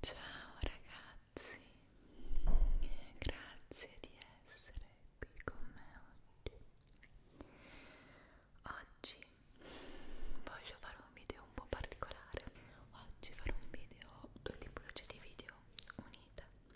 Ciao ragazzi, grazie di essere qui con me oggi. Oggi voglio fare un video un po' particolare. Oggi farò un video, due tipologie di video unite.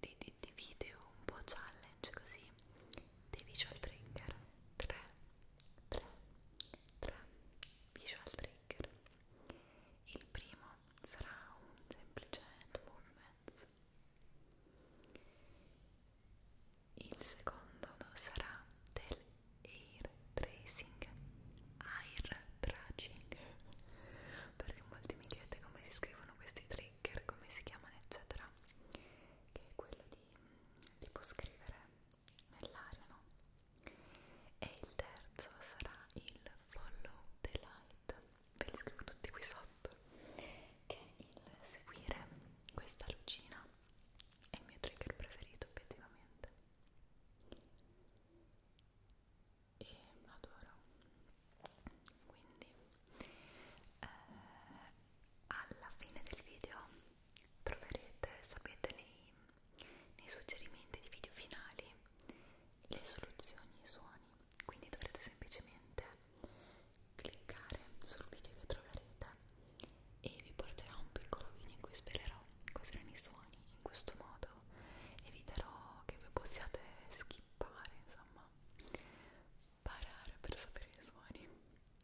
dei, dei, dei video un po' challenge così dei visual trigger 3 3 3 visual trigger il primo sarà un semplice hand movement il secondo sarà del air tracing air tracing perché molti mi chiedete come si scrivono questi trigger, come si chiamano eccetera che è quello di tipo scrivere nell'aria no? e il terzo sarà il follow the light ve li scrivo tutti qui sotto che è il seguire questa lucina è il mio trigger preferito obiettivamente e adoro quindi eh, alla fine del video troverete sapete nei, nei suggerimenti di video finali le soluzioni i suoni quindi dovrete semplicemente cliccare sul video che troverete e vi porterà un piccolo video in cui svelerò cos'erano i suoni in questo modo eviterò che voi possiate schif chipare, insomma, parare per sapere i suoni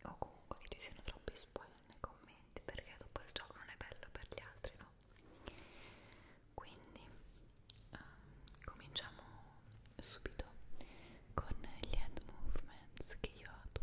o comunque che ci siano troppi spoiler nei commenti perché dopo il gioco non è bello per gli altri, no? Quindi um, cominciamo subito con gli hand movements che io adoro.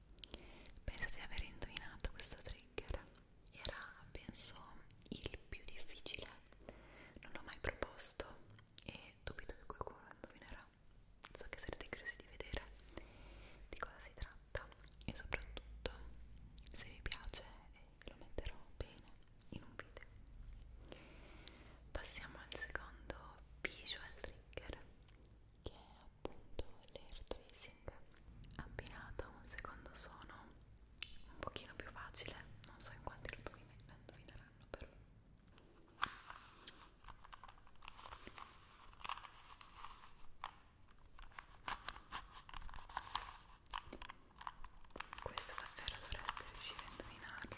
Penso di aver indovinato questo trigger. Era, penso, il più difficile. Non l'ho mai proposto e dubito che qualcuno lo indovinerà. So che sarete curiosi di vedere di cosa si tratta e soprattutto se vi piace lo metterò bene in un video. Passiamo al secondo visual trigger che è appunto l'air tracing abbinato a un secondo suono un pochino più facile non so in quanti lo indovineranno però questo davvero dovreste riuscire a indovinarlo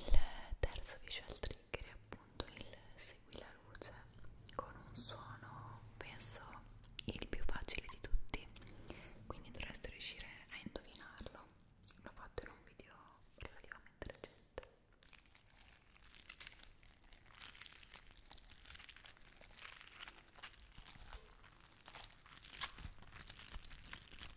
Il terzo visual trick trigger appunto il segui la luce con un suono penso il più facile di tutti quindi dovreste riuscire a indovinarlo l'ho fatto in un video relativamente recente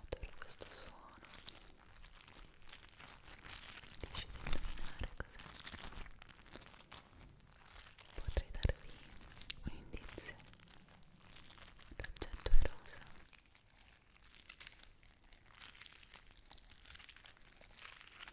Adoro questo suono. Riuscite a indovinare cos'è? Potrei darvi un indizio. L'oggetto è rosa.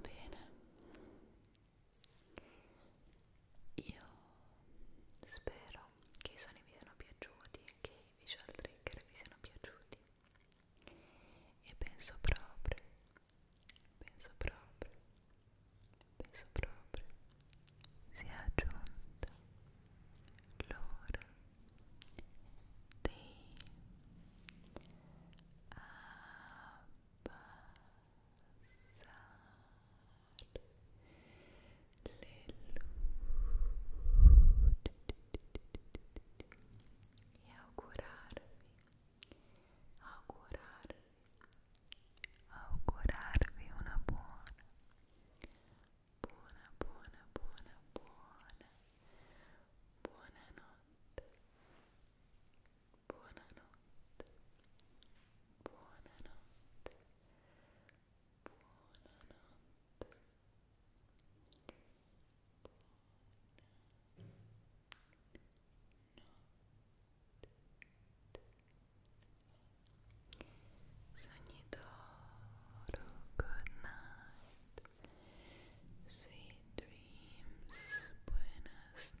Bene, io spero spero che i suoni vi siano piaciuti e che i visual trigger vi siano piaciuti e penso proprio penso proprio penso proprio sia giunta l'ora dei abbassamenti e augurarvi, augurarvi, augurarvi una buona, buona, buona, buona, buona, buonanotte, buonanotte, buonanotte. Buonanotte, Sogni d'oro, good night. Sweet dreams, buenas noches.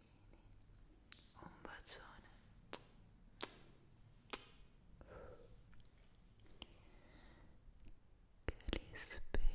un bacione che li spera